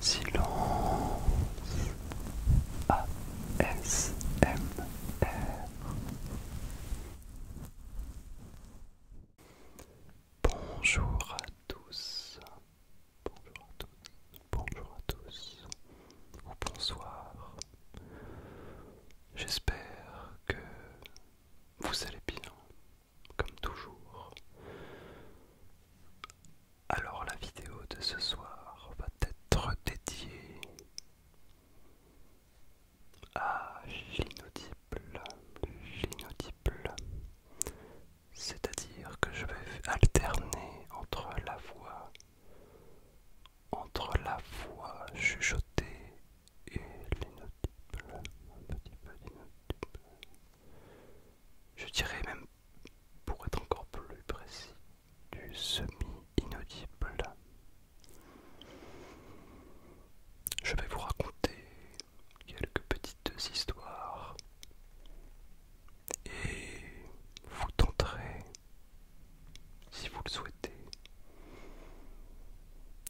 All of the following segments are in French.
Silence R Bonjour à tous, bonjour à tous, bonjour à tous, ou bonsoir. J'espère que vous allez bien, comme toujours. Alors la vidéo de ce soir va être dédiée à l'inaudible, C'est-à-dire que je vais alterner entre la voix, entre la voix chuchotée et l'inaudible, un petit peu Je dirais même, pour être encore plus précis, du semi-inaudible. Je vais vous raconter quelques petites histoires et vous tenterez, si vous le souhaitez,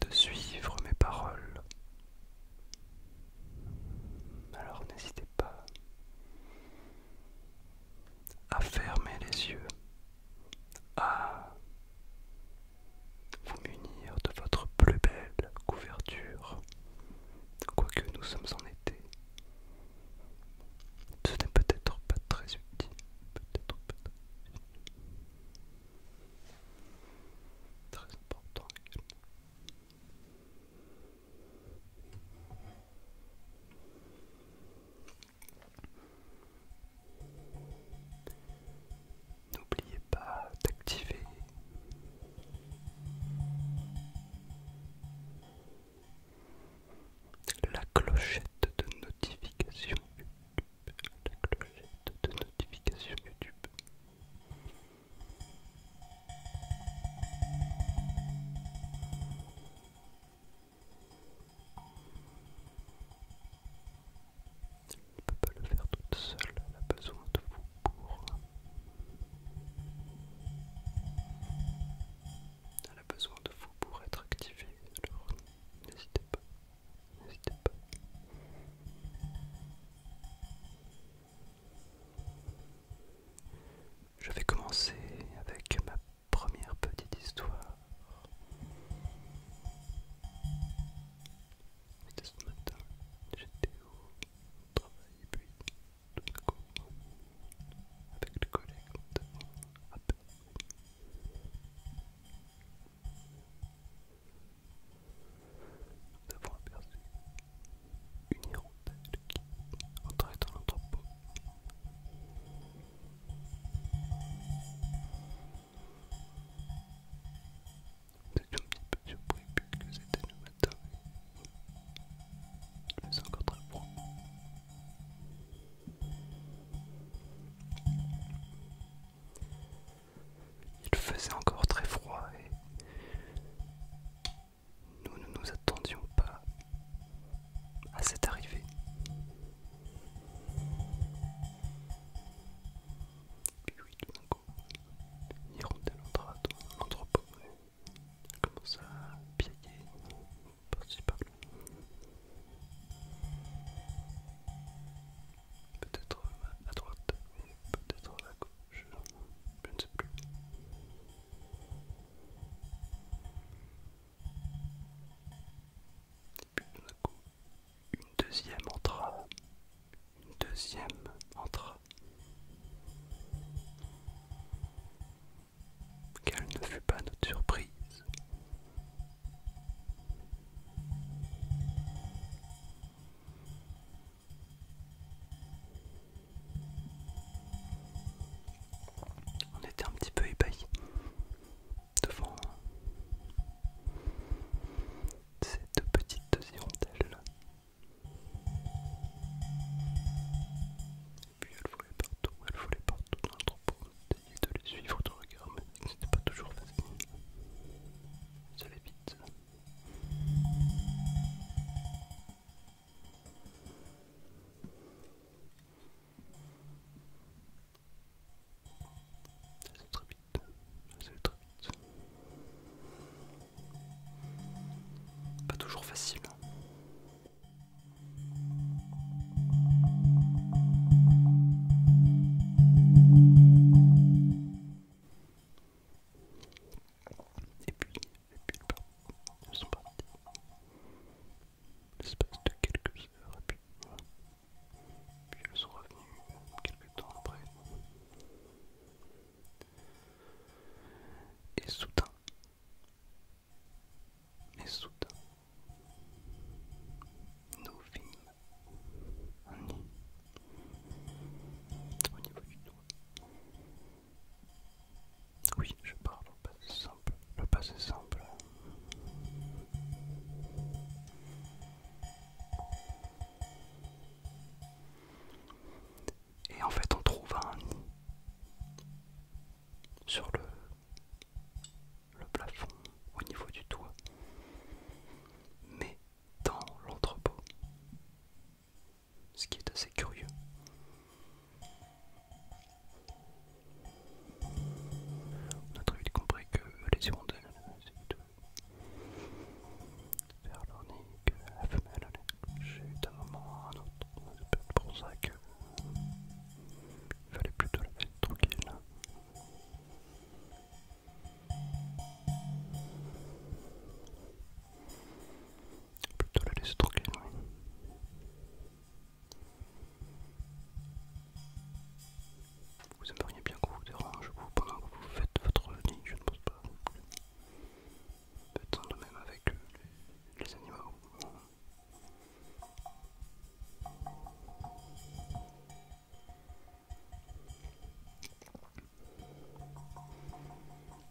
de suivre mes paroles. Alors n'hésitez pas à fermer les yeux, à vous munir de votre plus belle couverture, quoique nous sommes en été. Ce n'est peut-être pas très utile, peut-être pas N'oubliez pas d'activer la clochette de notification la clochette de notification YouTube. Elle ne peut pas le faire toute seule, elle a besoin de vous pour... Elle a besoin de vous pour être activée, alors n'hésitez pas n'hésitez pas. Je vais commencer avec ma première petite histoire. C'était ce matin, j'étais au travail et puis tout d'un coup, avec le collègue, nous avons aperçu une hirondelle qui entrait dans l'entrepôt. Nous étions un petit peu surpris puisque que c'était le matin. Il faisait encore très froid. Il faisait encore très froid et nous ne nous attendions pas à cette arrivée. Puis oui, tout d'un coup, dans l'entrepôt. Elle commença à piéger par-ci par-là peut-être à droite, peut-être à gauche, je ne sais plus. coup, une deuxième entra, une deuxième entra. Quelle ne fut pas notre surprise on était un petit peu ébahi devant cette deux petites hirondelles. Et puis elle volait partout, elle volait partout dans le troupeau. Il de les suivre de regard, mais c'était pas toujours facile. Ça va vite. C'est très vite, c'est très vite. Pas toujours facile. Hein. Et puis puis ils sont partis. L'espace de quelques heures, et puis voilà. Puis elles sont revenues quelques temps après. Et soudain, Et soudain, nous nid au niveau du doigt. Oui, je parle au passé simple. Le passé simple. Et en fait, on trouve un nid sur le le plafond, au niveau du toit, mais dans l'entrepôt. Ce qui est assez curieux. On a très vite compris que les hirondelles nid l'ornique, la femelle eu d'un moment à un autre. C'est pour ça que fallait plutôt la mettre tranquille. Plutôt la laisser tranquille, Vous aimeriez bien qu'on vous dérange vous, pendant que vous faites votre ligne, je ne pense pas. peut de même avec euh, les animaux.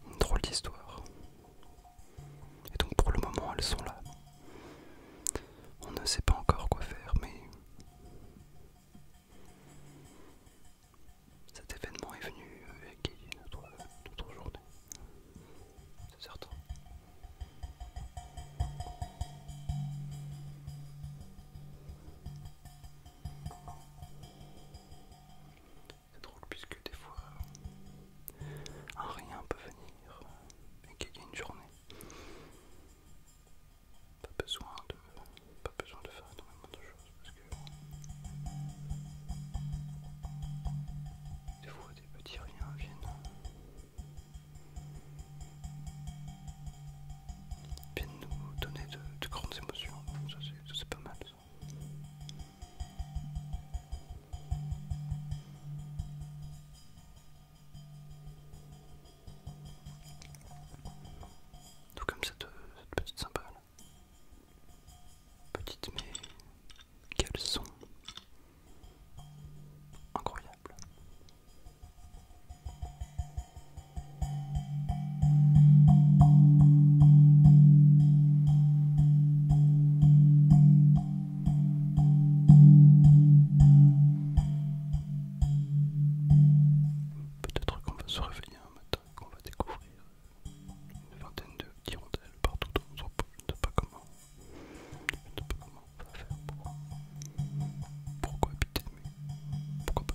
Une drôle d'histoire. Et donc pour le moment elles sont là. On ne sait pas encore quoi faire, mais cet événement est venu avec notre, euh, notre journée. C'est certain. C'est drôle puisque des fois un rien peut venir et a une journée. Pas besoin de, pas besoin de faire énormément de choses parce que des fois des petits riens viennent de nous donner de, grandes émotions. Ça c'est pas mal. Ça. comme cette, petite symbole. Petite mais quel son Incroyable. Peut-être qu'on va se réveiller un matin et qu'on va découvrir une vingtaine de tirondelles partout dans notre peau, je ne sais pas comment on va faire pour. Pourquoi habiter de mais Pourquoi pas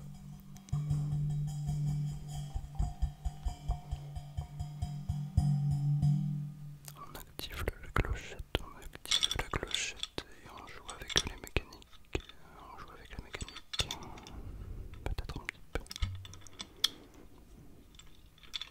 On active la clochette, on active la clochette et on joue avec les mécaniques. On joue avec la mécanique. Peut-être un petit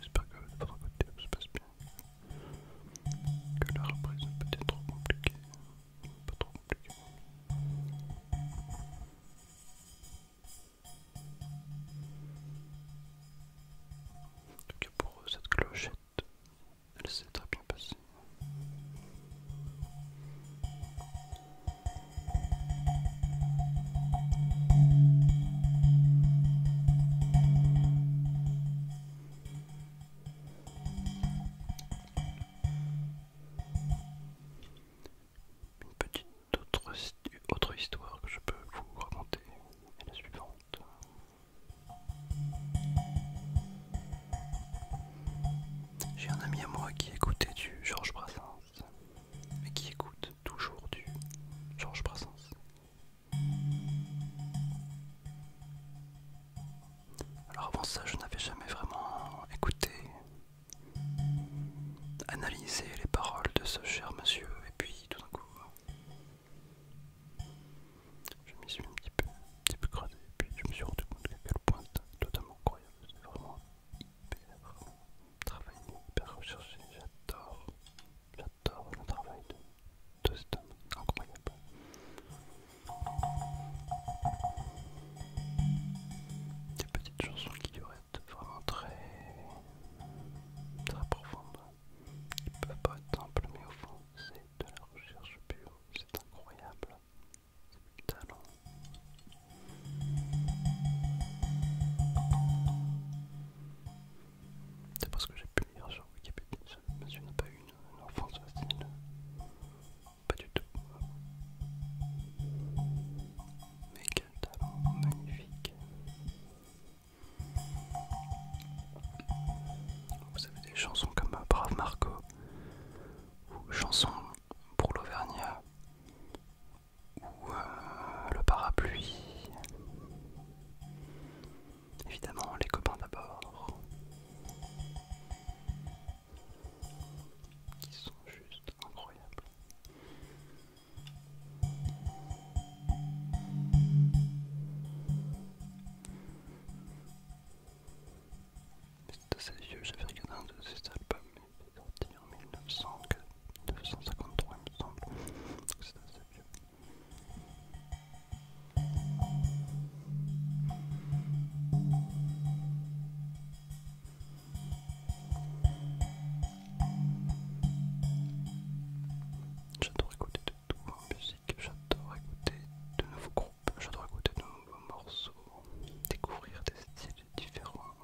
J'espère que de votre côté tout se passe bien. Que la reprise peut être trop compliquée. Pas trop compliquée. En pour cette clochette, elle s'est très bien passée. Une petite autre, autre histoire que je peux vous raconter est la suivante. J'ai un ami à moi qui écoutait du Georges Brassens, mais qui écoute toujours du Georges Brassens. Alors avant ça, je n'avais jamais vraiment écouté, analysé les paroles de ce cher monsieur, et puis tout d'un coup, je m'y suis un petit peu, un et puis je me suis rendu compte qu'à quel point c'était totalement incroyable. C'est vraiment hyper travail hyper recherché. J'adore, j'adore le travail de, cette cet homme, incroyable. Des petites chansons qui être vraiment très, très profondes. Ils peuvent simples, mais au fond, c'est de la recherche pure. C'est incroyable. C'est du talent. C'est parce que j'ai pu lire sur Wikipédia. Je n'a suis pas eu une enfance facile. Pas du tout. Mais quel talent magnifique. Vous avez des chansons comme Brave Marco ou chansons pour l'Auvergnat ou euh, Le Parapluie. Évidemment, les copains d'abord. Qui sont juste incroyables. C'est assez vieux, j'avais regardé un de ses albums, il est sorti en 1900, 1953 il me semble, donc c'est assez vieux. J'adore écouter de tout en hein, musique, j'adore écouter de nouveaux groupes, j'adore écouter de nouveaux morceaux, découvrir des styles différents.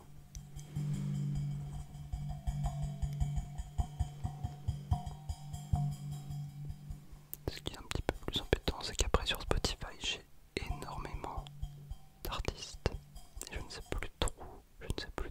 Ce qui est un petit peu plus embêtant, c'est qu'après sur Spotify, j'ai énormément d'artistes. Et je ne sais plus trop, je ne sais plus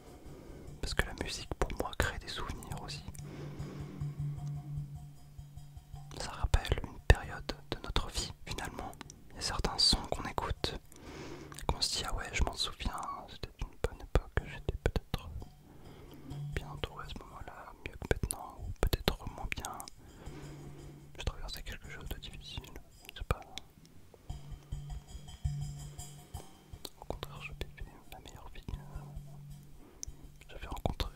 Parce que la musique pour moi crée des souvenirs aussi. Ça rappelle une période de notre vie finalement. Il y a certains sons qu'on écoute, qu'on se dit ah ouais je m'en souviens, c'était une bonne époque, j'étais peut-être bien entouré à ce moment-là, mieux que maintenant, ou peut-être moins bien. Je traversais quelque chose de difficile, je sais pas. Au contraire, je vivais la meilleure vie. J'avais rencontré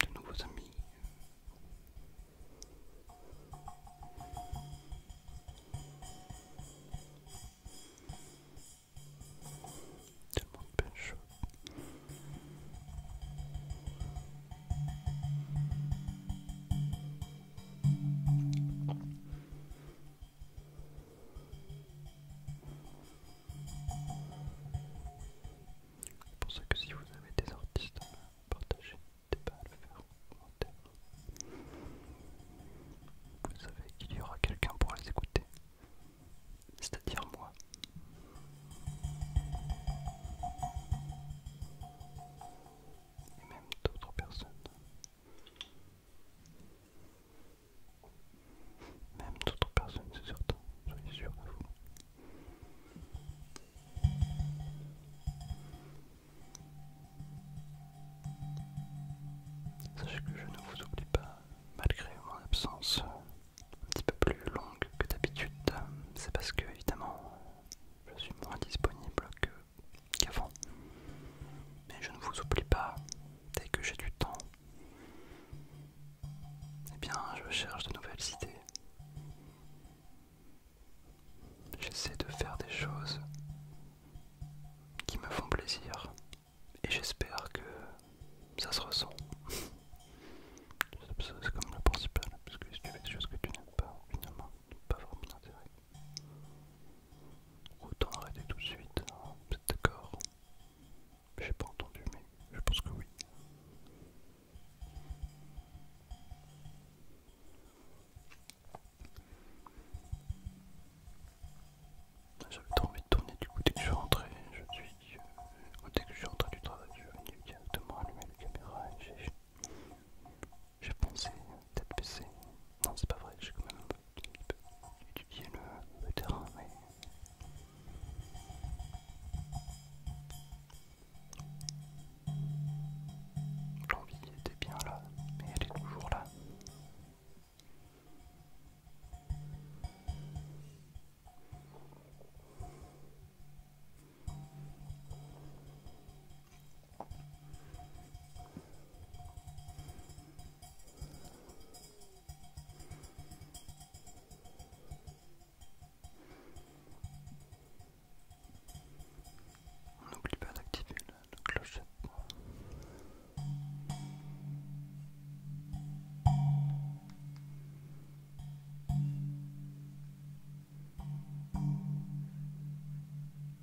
de nouveaux amis. Tellement de belles choses. C'est pour ça que si vous avez des artistes à partager, n'hésitez pas à le faire en commentaire. Vous savez qu'il y aura quelqu'un pour les écouter, c'est-à-dire moi et même d'autres personnes. Même d'autres personnes, c'est certain, soyez suis sûr de vous. Sachez que je ne vous oublie pas, malgré mon absence un petit peu plus longue que d'habitude, euh, c'est parce que évidemment je suis moins disponible qu'avant. Mais je ne vous oublie pas, dès que j'ai du temps, et eh bien je cherche de nouvelles idées. J'essaie de faire des choses qui me font plaisir et j'espère que ça se ressent. C'est comme le principal, parce que si tu fais des choses que tu n'aimes pas, finalement, pas vraiment d'intérêt. Autant arrêter tout de suite, c'est hein, d'accord J'ai pas entendu, mais je pense que oui. J'avais tant envie de tourner, du coup, dès que je suis rentré, je suis dès que je suis rentré du travail, je suis venu directement allumer la caméra et j'ai... pensé peut-être c'est... Non, c'est pas vrai, j'ai quand même un peu étudié le, le terrain, mais. L'envie était bien là, mais elle est toujours là. On n'oublie pas d'activer la, clochette. Hein. Je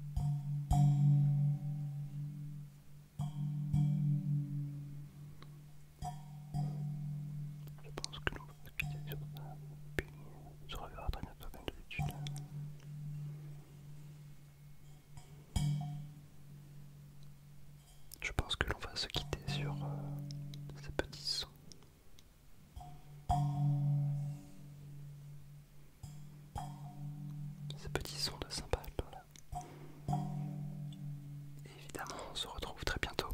pense que l'on va se quitter sur ça, puis on se reverra très bientôt comme d'habitude. Je pense que l'on va se quitter sur ces petits sons ce petit son de cymbale évidemment, on se retrouve très bientôt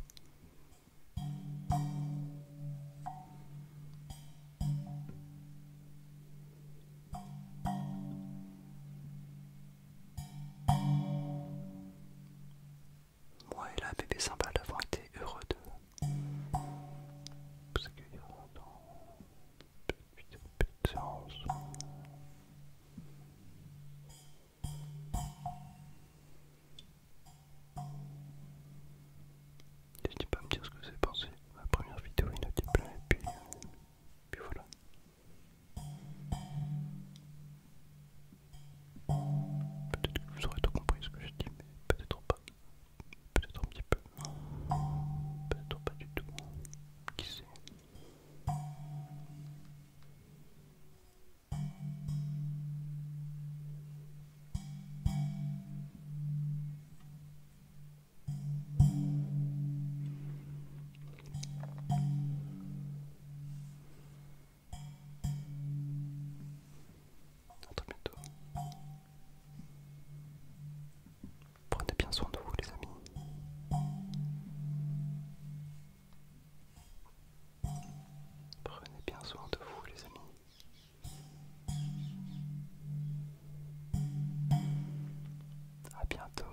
moi et la bébé sympa d'avoir été heureux de vous accueillir dans Peu petite séance. N'hésitez pas à me dire ce que vous avez pensé. la première vidéo inaudible, et euh, puis voilà. Peut-être que vous aurez tout compris ce que je dis, mais peut-être pas. Peut-être un petit peu. Peut-être pas du tout. Qui sait bientôt. Prenez bien soin de vous les amis. Prenez bien soin de vous les amis. À bientôt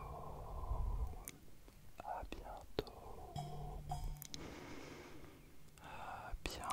à bientôt. À bientôt.